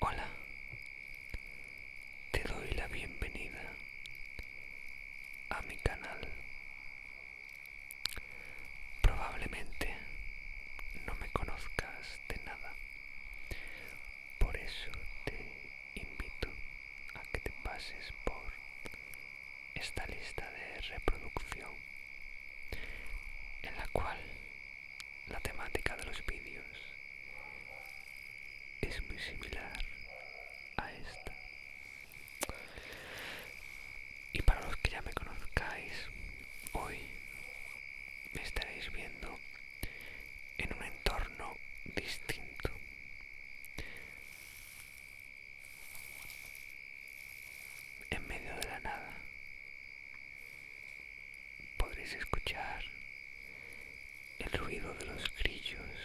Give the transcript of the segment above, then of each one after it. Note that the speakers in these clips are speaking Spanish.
Hola, te doy la bienvenida a mi canal. Probablemente no me conozcas de nada, por eso te invito a que te pases por esta lista de reproducción en la cual la temática de los vídeos es muy similar a esta y para los que ya me conozcáis hoy me estaréis viendo en un entorno distinto. En medio de la nada podréis escuchar el ruido de los grillos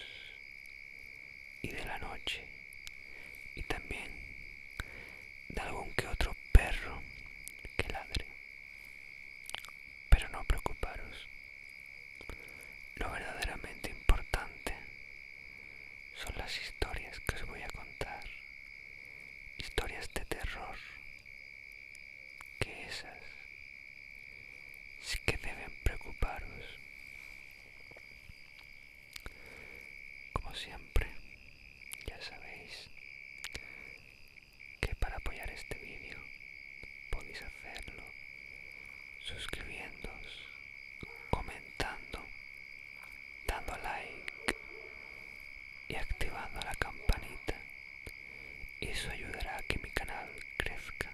y de la noche y también de algún que otro perro que ladre. Pero no preocuparos. Lo verdaderamente importante son las historias que os voy a contar, historias de terror, que esas sí que deben preocuparos. Como siempre, ya sabéis, que para apoyar este vídeo podéis hacerlo suscribiéndoos, comentando, dando like y activando la campanita. Eso ayudará a que mi canal crezca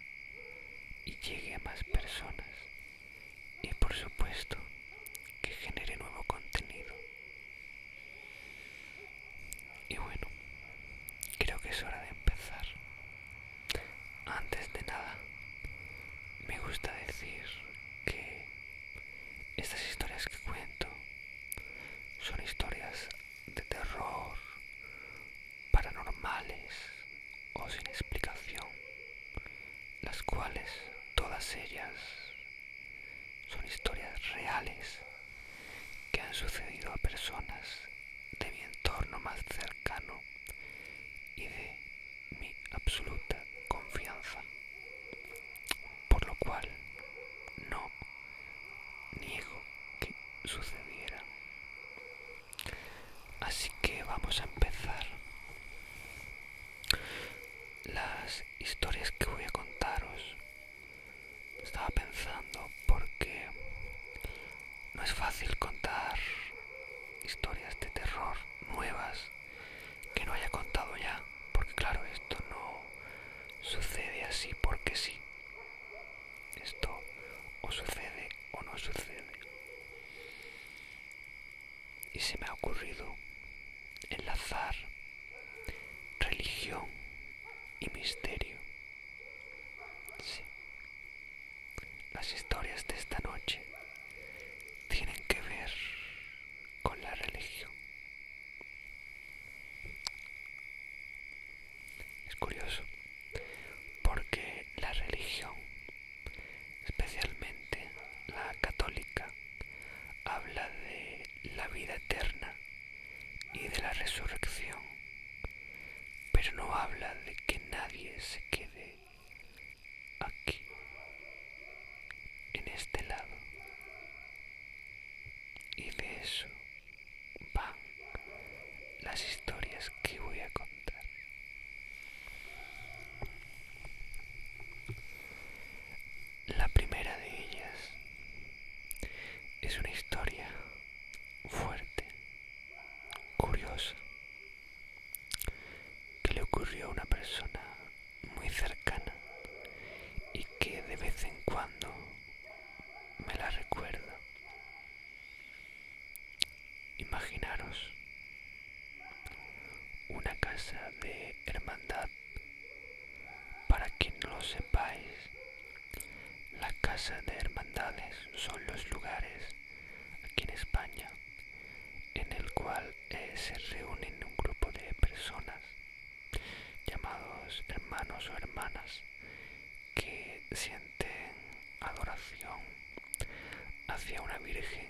y llegue a más personas y por supuesto que genere nuevo contenido. Y bueno, creo que es hora de empezar. Antes de nada, me gusta decir que estas historias que cuento son historias de terror, paranormales o sin explicación, las cuales todas ellas son historias reales que han sucedido a personas de mi entorno más cercano y de mi absoluta confianza, por lo cual no niego que sucediera. Así que vamos a empezar. Las historias que voy a contaros estaba pensando porque no es fácil contar historias de terror nuevas que no haya contado ya, porque claro, esto no sucede así porque sí. Esto o sucede o no sucede. Y se me ha ocurrido enlazar religión y misterio. Sí. Las historias de esta noche tienen que ver con la religión. Es curioso, porque la religión, especialmente la católica, habla de la vida eterna y de la resurrección, pero no habla de que nadie se quede aquí, en este lado. Y de eso van las historias que voy a contar. La primera de ellas es una historia fuerte, curiosa, que le ocurrió a una persona muy cercana y que de vez en cuando me la recuerdo. Imaginaros una casa de hermandad, para quien no lo sepáis, la casa de hermandades son los lugares, aquí en España, en el cual eh, se reúnen un grupo de personas llamados hermanos o hermanas que sienten adoración hacia una Virgen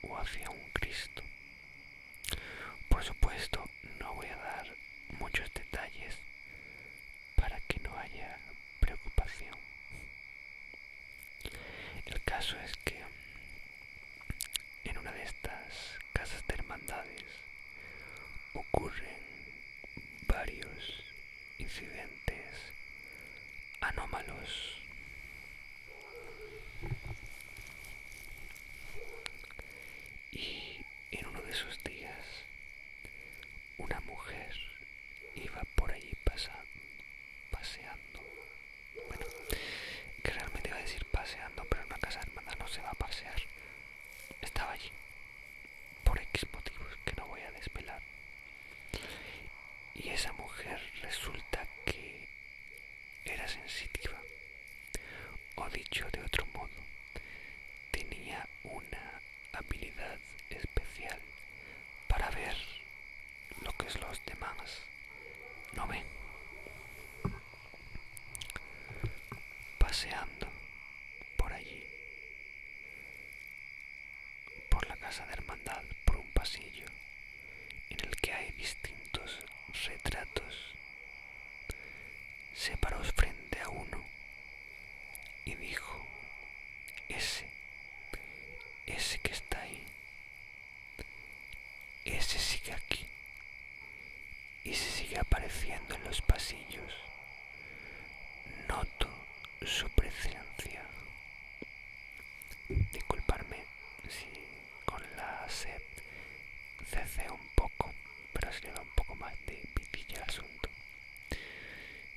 o hacia un Cristo. Por supuesto, no voy a dar muchos detalles para que no haya preocupación. El caso es que mm, en una de estas casas de hermandades ocurren varios incidentes anómalos. Y en uno de esos días una mujer iba por allí pasando, paseando. Bueno, que realmente iba a decir paseando, pero en una casa hermana no se va a pasear. Estaba allí, por X motivos que no voy a desvelar. Y esa mujer resulta que era sensitiva. O dicho de otro modo, tenía una habilidad especial para ver lo que es los demás no ven. Paseando por allí, por la casa de hermandad, por un pasillo en el que hay distintos retratos, separados frente a uno y dijo, ese, ese que está ahí, ese sigue aquí y se sigue apareciendo en los pasillos. Noto su presencia. Disculparme si con la sed ceceo un poco, pero se le un poco más de pitilla el asunto.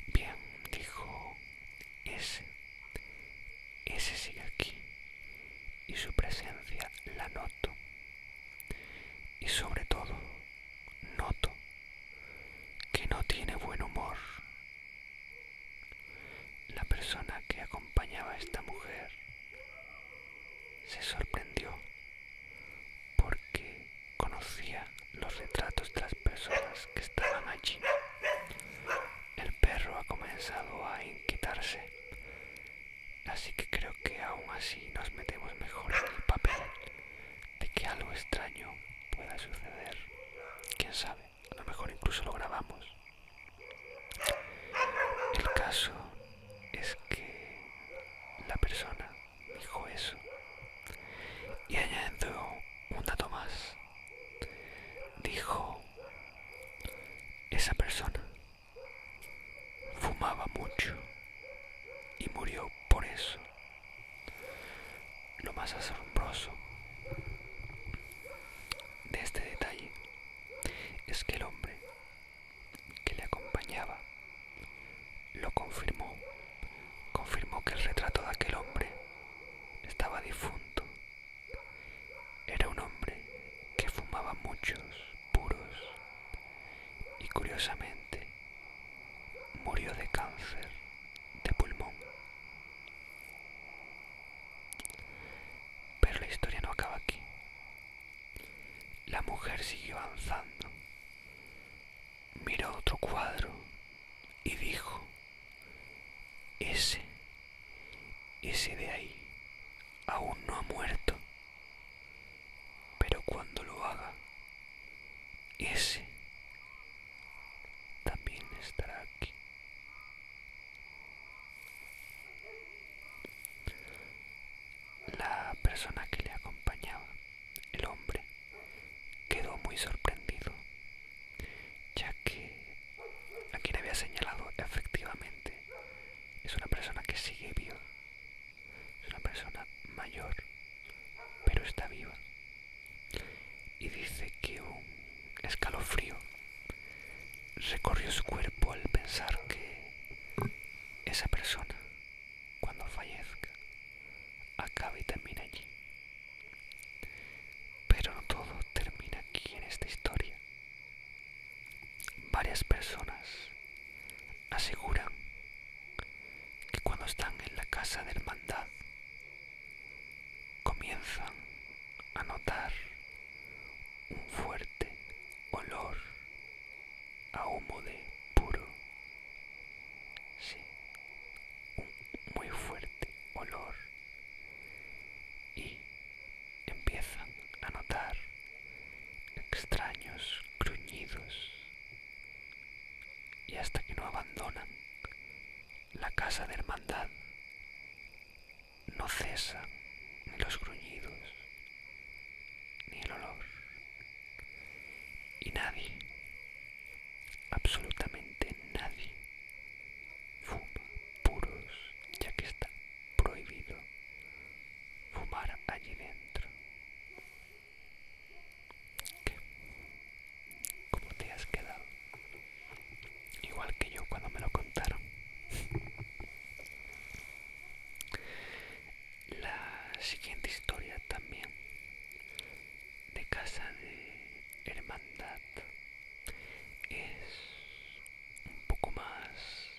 Bien, dijo ese. Ese sigue aquí y su presencia la noto. Y sobre todo, noto que no tiene buen humor. La persona que acompañaba a esta mujer se sorprendió porque conocía los retratos de las personas que estaban allí. El perro ha comenzado a inquietarse, así que creo que aún así nos metemos mejor en el papel de que algo extraño pueda suceder. Quién sabe, a lo mejor incluso lo grabamos. El caso es que la persona dijo eso. Y añadiendo un dato más, dijo, esa persona fumaba mucho y murió por eso. Lo más asombroso de este detalle es que el hombre que le acompañaba lo confirmó. Confirmó que el retrato de aquel hombre estaba difunto. Era un hombre que fumaba muchos puros y curiosamente murió de cáncer de pulmón. Pero la historia no acaba aquí. La mujer siguió avanzando miró otro cuadro y dijo, ese, ese de ahí, aún no ha muerto, pero cuando lo haga, ese también estará aquí. La persona que le acompañaba, el hombre, Quedó muy sorprendido, ya que a quien había señalado efectivamente es una persona que sigue viva, es una persona mayor, pero está viva. Y dice que un escalofrío recorrió su cuerpo al pensar que esa persona, cuando fallezca, acabe termina allí. Pero no todo termina aquí en esta historia. Varias personas aseguran que cuando están en la casa de hermandad comienzan a notar un fuerte olor a humo de puro. Sí, muy fuerte olor. Y empiezan a notar extraños gruñidos. Y hasta que no abandonan la casa de hermandad, no cesan los gruñidos, ni el olor, y nadie, absolutamente nadie, fuma puros, ya que está prohibido fumar allí dentro. ¿Qué? ¿Cómo te has quedado? Igual que yo cuando me lo contaron la siguiente historia también de casa de hermandad es un poco más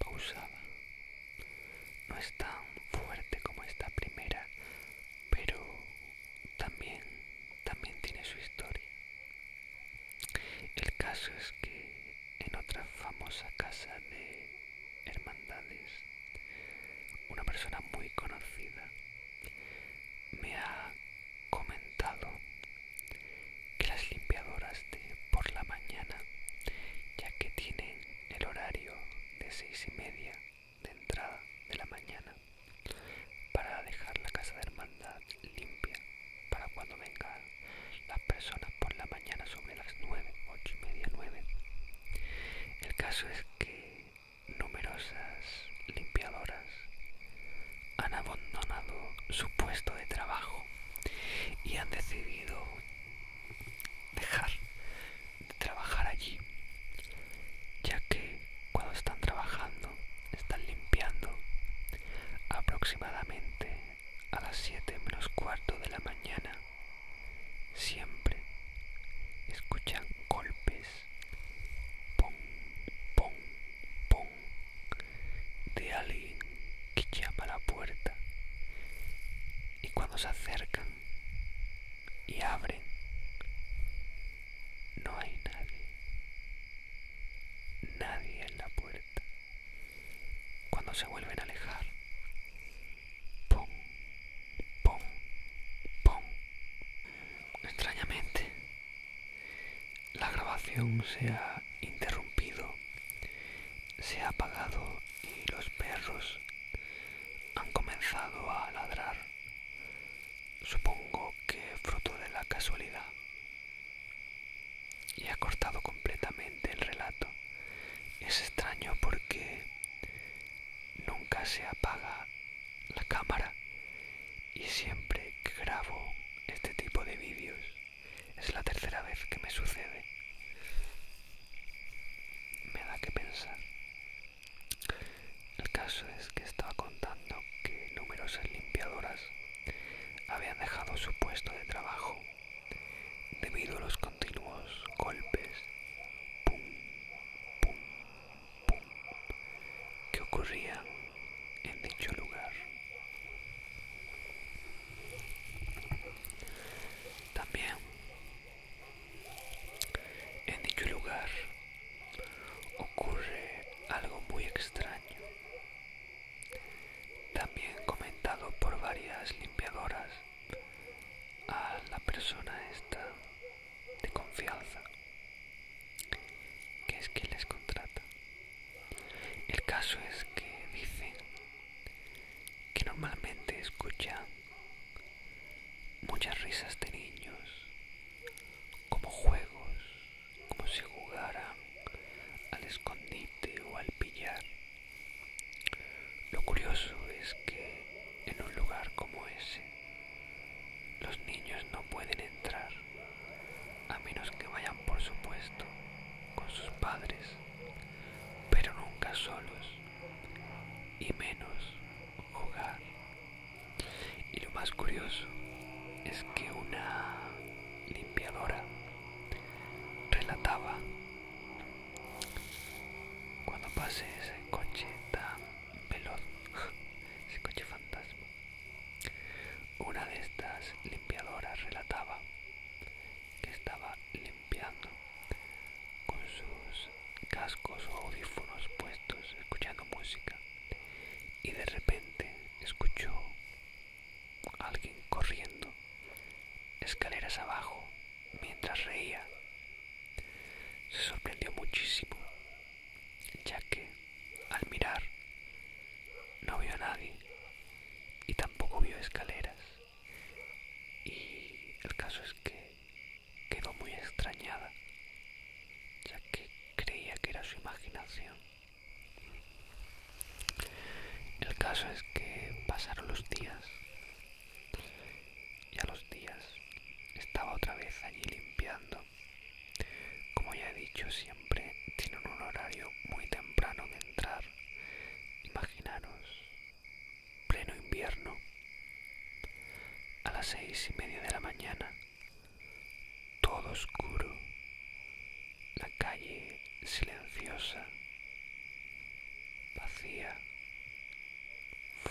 pausada no es tan fuerte como esta primera pero también también tiene su historia el caso es que en otra famosa casa de hermandades, una persona muy conocida, me ha comentado que las limpiadoras de por la mañana, ya que tienen el horario de seis y media de entrada de la mañana, para dejar la casa de hermandad limpia para cuando vengan las personas por la mañana sobre las 9, 8 y media, 9. El caso es que numerosas limpiadoras han abandonado su puesto de trabajo y han decidido dejar de trabajar allí, ya que cuando están trabajando, están limpiando aproximadamente a las 7 menos cuarto de la mañana siempre escuchan golpes de alguien que llama la puerta y cuando se acercan y abren no hay nadie nadie en la puerta cuando se vuelven a alejar pum, pum, pum. Extrañamente, la grabación se ha interrumpido, se ha apagado y los perros han comenzado a ladrar. Supongo que fruto de la casualidad. Y ha cortado completamente el relato. Es extraño porque Nunca se apaga la cámara y siempre grabo este tipo de vídeos. Es la tercera vez que me sucede. Me da que pensar. El caso es que estaba contando que numerosas limpiadoras habían dejado su puesto de trabajo debido a los continuos golpes que ocurrían en dicho lugar. También en dicho lugar ocurre algo muy extraño, también comentado por varias limpiadoras a la persona esta de confianza que es quien les contrata el caso es que dicen que normalmente escuchan muchas risas de niños como juegos como si jugaran al escondite o al pillar lo curioso es que en un lugar como ese los niños no pueden entrar a menos que vayan por supuesto con sus padres, pero nunca solos y menos jugar. Y lo más curioso es que una limpiadora relataba cuando pasé ese coche tan veloz, ese coche fantasma, una de estas limpiadoras relataba que estaba limpiando con sus cascos o audífonos puestos, escuchando música, y de repente escuchó a alguien corriendo escaleras abajo, mientras reía. Se sorprendió muchísimo, ya que, al mirar, no vio a nadie y tampoco vio escaleras. Y el caso es que quedó muy extrañada, ya que creía que era su imaginación. El caso es que pasaron los días y a los días estaba otra vez allí limpiando. Como ya he dicho, siempre tienen un horario muy temprano de entrar. Imaginaros, pleno invierno, a las seis y media de la mañana, todo oscuro, la calle silenciosa vacía,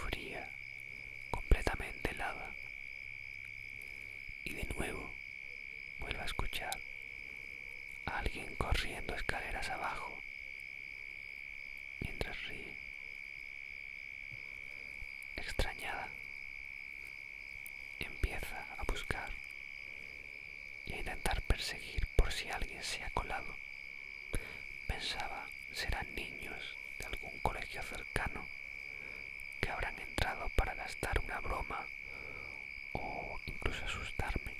fría, completamente helada. Y de nuevo vuelve a escuchar a alguien corriendo escaleras abajo mientras ríe. Extrañada, empieza a buscar y a intentar perseguir por si alguien se ha colado Pensaba serán niños de algún colegio cercano que habrán entrado para gastar una broma o incluso asustarme.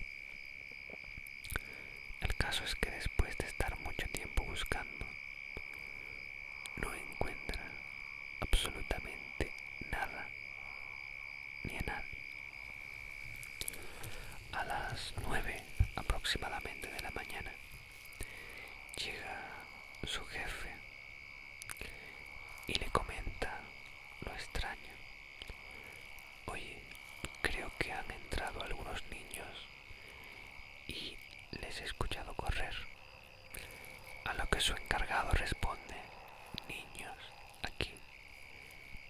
El caso es que después de estar mucho tiempo buscando, no encuentra absolutamente nada ni nada. A las nueve aproximadamente de la mañana, llega su jefe y le comenta lo extraño. Oye, creo que han entrado algunos niños y les he escuchado correr. A lo que su encargado responde, niños, aquí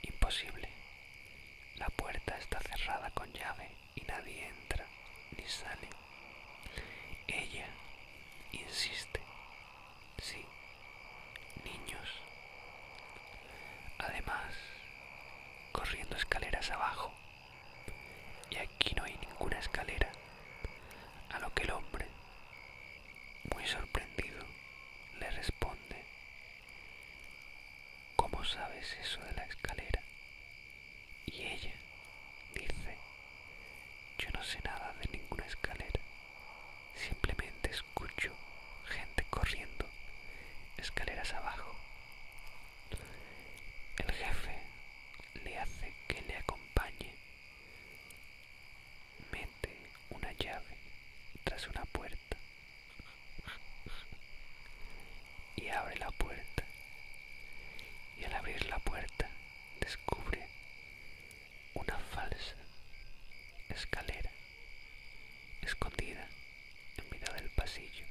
Imposible. La puerta está cerrada con llave y nadie entra ni sale. Ella insiste. Sí, niños. Además, corriendo escaleras abajo. Y aquí no hay ninguna escalera. A lo que el hombre, muy sorprendido, le responde ¿Cómo sabes eso de la escalera? Y ella dice, yo no sé nada de ninguna escalera, simplemente escucho gente corriendo, escaleras abajo. El jefe le hace que le acompañe, mete una llave tras una puerta y abre la puerta. Y al abrir la puerta descubre una falsa escalera escondida en medio del pasillo,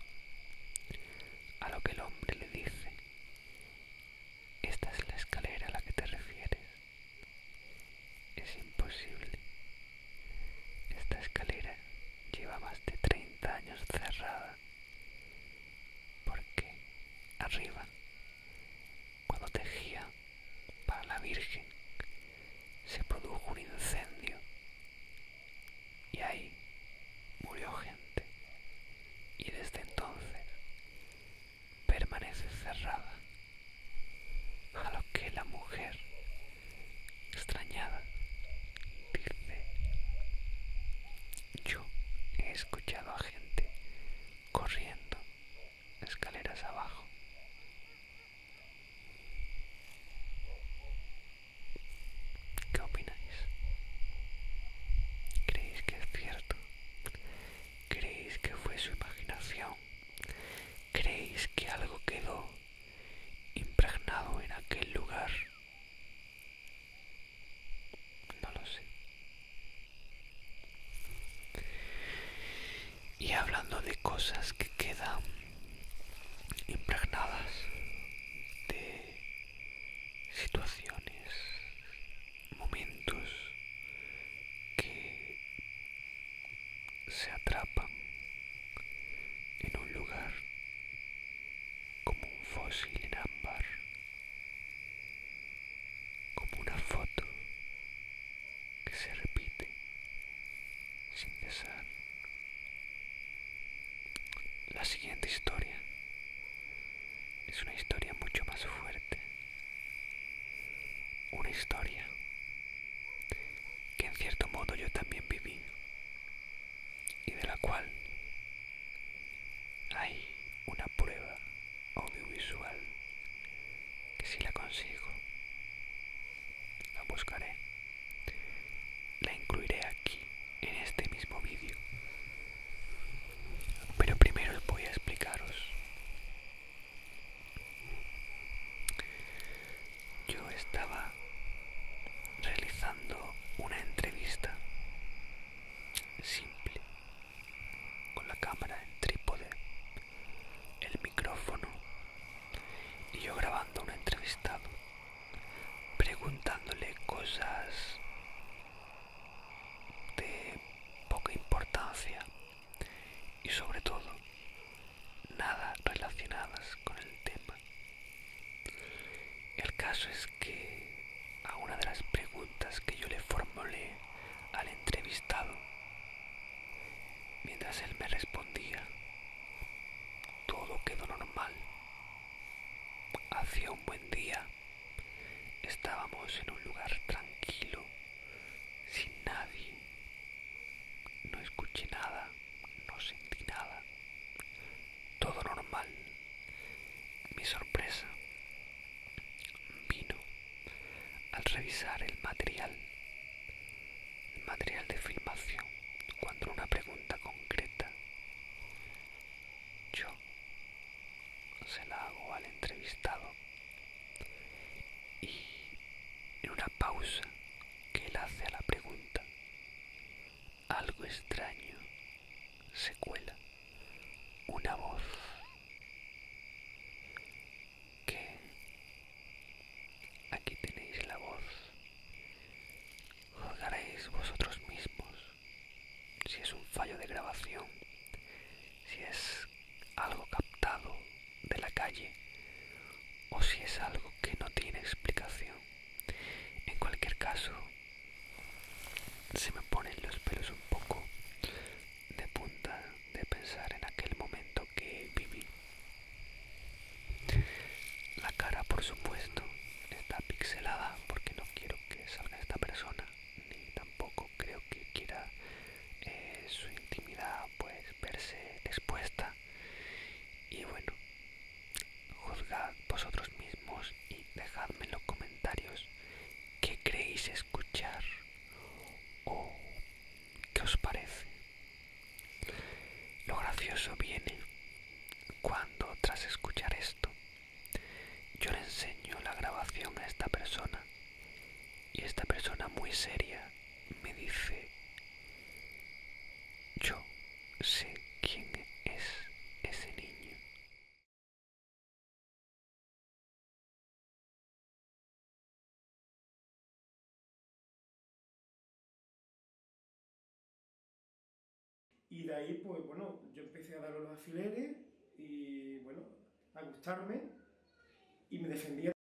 a lo que el hombre le dice, esta es la escalera a la que te refieres. Es imposible esta escalera lleva más de 30 años cerrada porque arriba, cuando tejía para la Virgen, se produjo un incendio y ahí murió gente y desde entonces permanece cerrada a lo que la mujer extrañada. Dice, yo he escuchado a gente corriendo escaleras abajo. ¿Qué opináis? ¿Creéis que es cierto? ¿Creéis que fue su imaginación? ¿Creéis que algo quedó impregnado en aquel lugar. No lo sé. Y hablando de cosas que quedan impregnadas, de situaciones, momentos que se atrapan en un lugar como un fósil en ámbar, como una foto que se repite sin cesar. La siguiente historia es una historia mucho más fuerte, una historia que en cierto modo yo también viví y de la cual hay una prueba audiovisual que si la consigo la buscaré la incluiré aquí en este mismo vídeo pero primero voy a explicaros yo estaba realizando una entrevista simple con la cámara en trípode, el micrófono y yo grabando un entrevistado, preguntándole cosas de poca importancia y sobre todo nada relacionadas con el tema. El caso es que a una de las preguntas que yo le formulé al entrevistado, mientras él me respondía, todo quedó normal. Hacía un buen día, estábamos en un lugar tranquilo, sin nadie no escuché nada, no sentí nada. Todo normal. Mi sorpresa vino al revisar el material, el material de filmación, cuando una pregunta concreta yo se la hago al entrevistado y en una pausa que él hace a la pregunta. Algo extraño se cuela. Una voz que aquí tenéis la voz. Juzgaréis vosotros mismos si es un fallo de grabación, si es algo captado de la calle o si es algo que no tiene explicación. En cualquier caso, se me ponen los pelos un poco de punta de pensar en aquel momento que viví. La cara, por supuesto, está pixelada porque no quiero que salga esta persona, ni tampoco creo que quiera eh, su intimidad pues verse expuesta y bueno, juzgad vosotros mismos y dejadme en los comentarios qué creéis escuchar o qué os parece. Lo gracioso viene cuando tras escuchar esto yo le enseño la grabación a esta persona y esta persona muy seria me dice, yo sé quién es ese niño. Y de ahí, pues bueno, yo empecé a dar los alfileres y bueno, a gustarme y me defendía.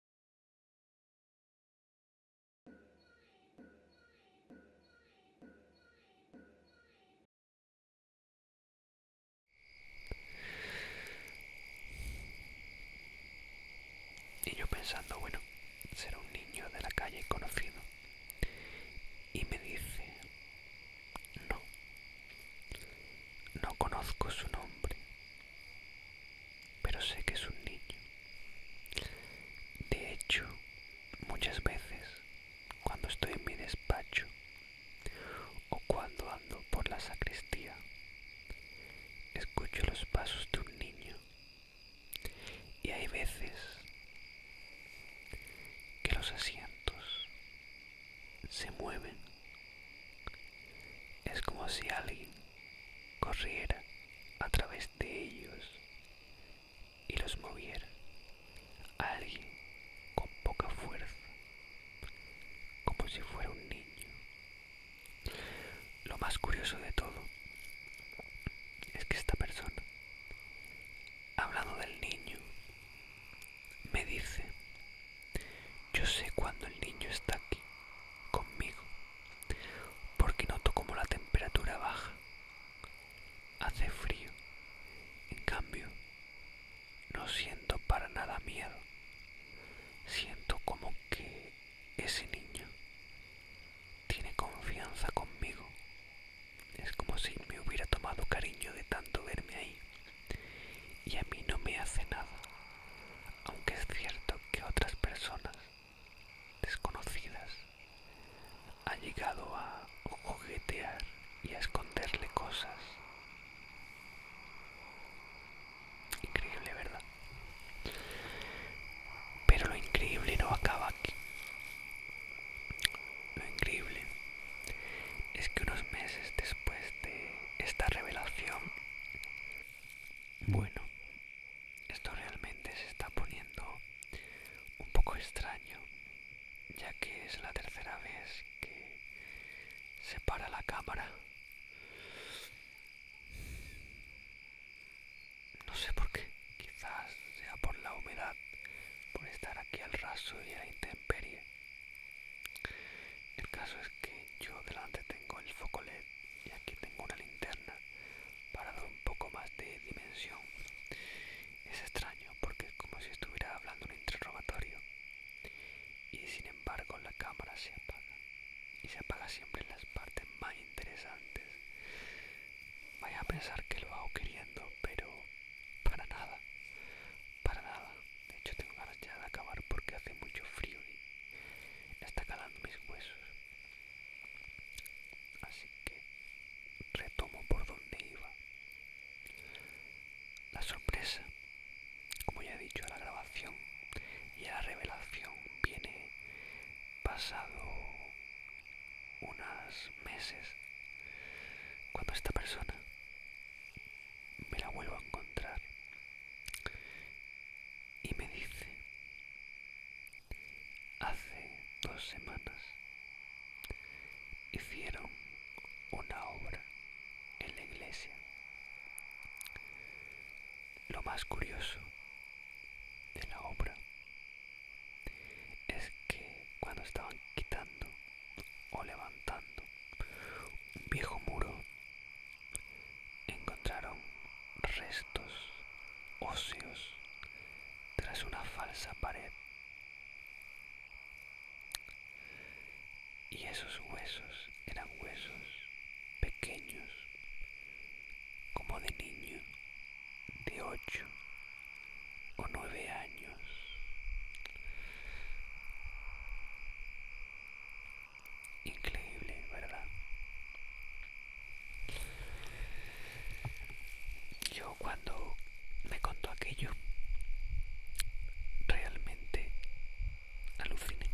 Y yo pensando, bueno, será un niño de la calle conocido. Y me dice, no, no conozco su nombre pero sé que es un niño. De hecho, muchas veces, cuando estoy en mi despacho o cuando ando por la sacristía, escucho los pasos de un niño. Y hay veces que los asientos se mueven. Es como si alguien corriera a través de ellos y los moviera. Alguien con poca fuerza, como si fuera un niño. Lo más curioso de todo es que esta persona, hablando del niño, me dice, yo sé cuando el niño está aquí, conmigo, porque noto como la temperatura baja. Hace frío. En cambio, no siento para nada miedo. Siento como que ese niño tiene confianza conmigo. Es como si me hubiera tomado cariño de tanto verme ahí. Y a mí no me hace nada. Aunque es cierto que otras personas desconocidas. Ha llegado a juguetear y a esconderle cosas. Increíble, ¿verdad? Pero lo increíble no acaba aquí. Lo increíble es que unos meses después de esta revelación, bueno, esto realmente se está poniendo un poco extraño, ya que es la tercera vez que se para la cámara. No sé por qué, quizás sea por la humedad, por estar aquí al raso y a la intemperie. El caso es que yo delante tengo el foco LED y aquí tengo una linterna para dar un poco más de dimensión. Es extraño porque es como si estuviera hablando un interrogatorio. Y sin embargo la cámara se apaga. Y se apaga siempre en las partes más interesantes. Vaya a pensar que lo hago queriendo, pero para nada. Para nada. De hecho tengo ganas ya de acabar porque hace mucho frío y está calando mis huesos. Así que retomo por donde iba. La sorpresa, como ya he dicho, a la grabación y a la revelación viene pasado unos meses cuando esta persona me la vuelvo a encontrar y me dice hace dos semanas hicieron una obra en la iglesia. Lo más curioso de la obra es que cuando estaban quitando o levantando un viejo muro, encontraron restos óseos tras una falsa pared. Y esos huesos eran huesos pequeños, como de niño, de ocho o nueve años. Increíble, ¿verdad? Yo cuando me contó aquello, realmente aluciné.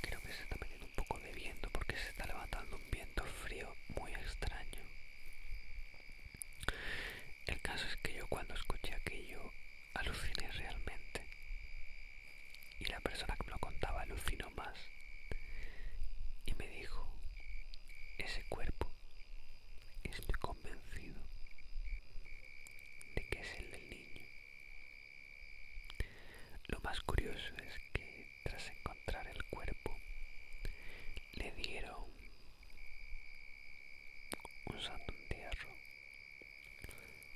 Creo que se está metiendo un poco de viento porque se está levantando un viento frío muy extraño. El caso es que yo cuando escuché aquello aluciné realmente. Y la persona que me lo contaba alucinó más y me dijo, ese cuerpo, estoy convencido de que es el del niño. Lo más curioso es que tras encontrar el cuerpo, le dieron un santo entierro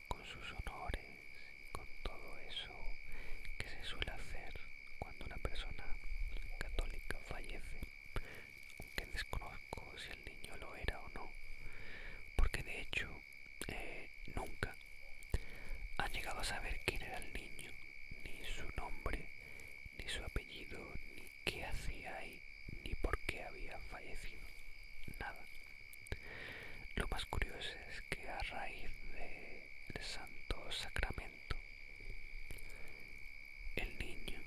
con sus honores con todo eso que se suele hacer cuando una persona católica fallece, aunque desconozco si el niño lo era o no, porque de hecho eh, nunca han llegado a saber quién era el niño, ni su nombre, ni su apellido, ni qué hacía ahí, ni por qué había fallecido, nada. Lo más curioso que a raíz del Santo Sacramento el niño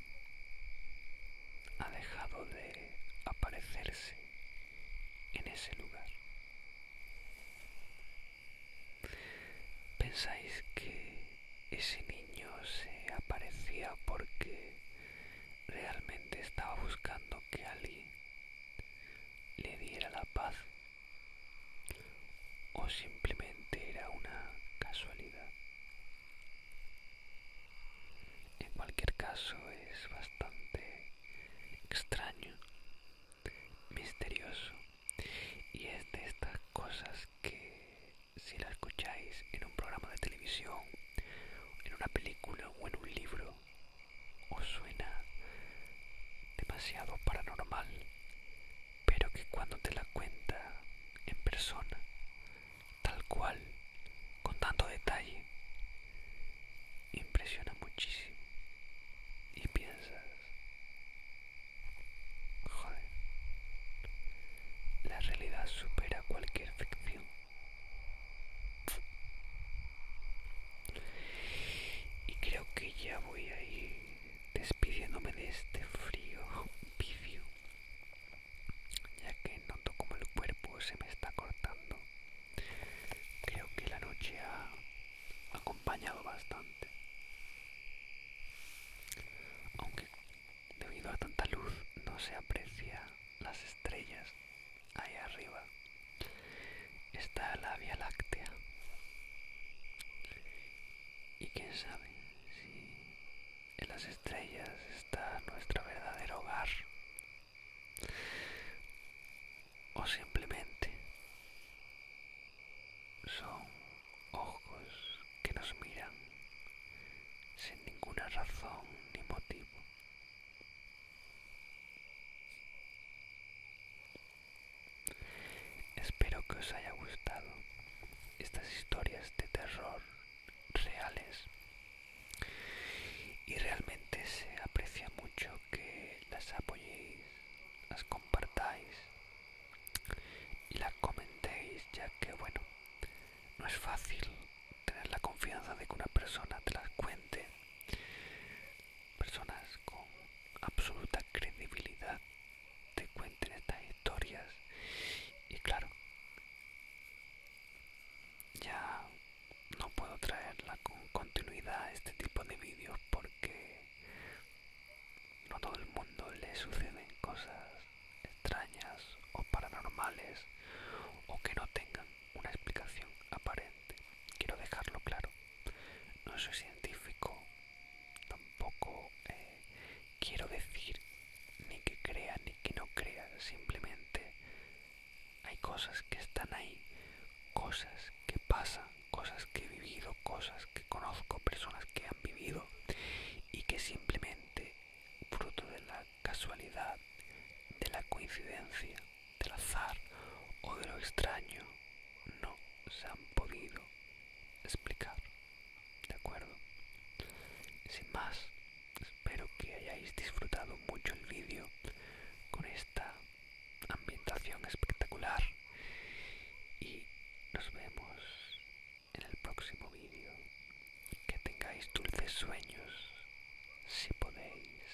ha dejado de aparecerse en ese lugar. ¿Pensáis que ese niño se aparecía porque realmente estaba buscando que alguien le diera la paz o simplemente era una casualidad. En cualquier caso es bastante extraño, misterioso y es de estas cosas que si la escucháis en un programa de televisión, en una película o en un libro, o suena demasiado paranormal? Pero que cuando te la cuenta en persona, tal cual, con tanto detalle, impresiona muchísimo. Y piensas, joder, la realidad supera cualquier ficción. Y creo que ya voy a ir despidiéndome de este frío vicio, ya que noto como el cuerpo se me está cortando. Creo que la noche ha acompañado bastante. Aunque debido a tanta luz no se aprecia las estrellas ahí arriba está la Vía Láctea. Y quién sabe si en las estrellas está nuestro verdadero hogar. O simplemente son ojos que nos miran sin ninguna razón ni motivo. Espero que os haya gustado estas historias de terror reales y realmente se aprecia mucho que las apoyéis, las compartáis y las comentéis ya que bueno, no es fácil tener la confianza de que una persona te las cuente personas con absoluta credibilidad te cuenten estas historias y claro ya no puedo traerla con continuidad a este tipo de vídeos porque no a todo el mundo le suceden cosas extrañas o paranormales o que no tengan una explicación aparente quiero dejarlo claro no soy científico, tampoco eh, quiero decir ni que crea ni que no crea, simplemente hay cosas que están ahí, cosas que pasan, cosas que he vivido, cosas que conozco, personas que han vivido y que simplemente fruto de la casualidad, de la coincidencia, del azar o de lo extraño no se han podido explicar. ¿De acuerdo? Sin más, espero que hayáis disfrutado mucho el vídeo con esta ambientación espectacular y nos vemos en el próximo vídeo. Que tengáis dulces sueños si podéis.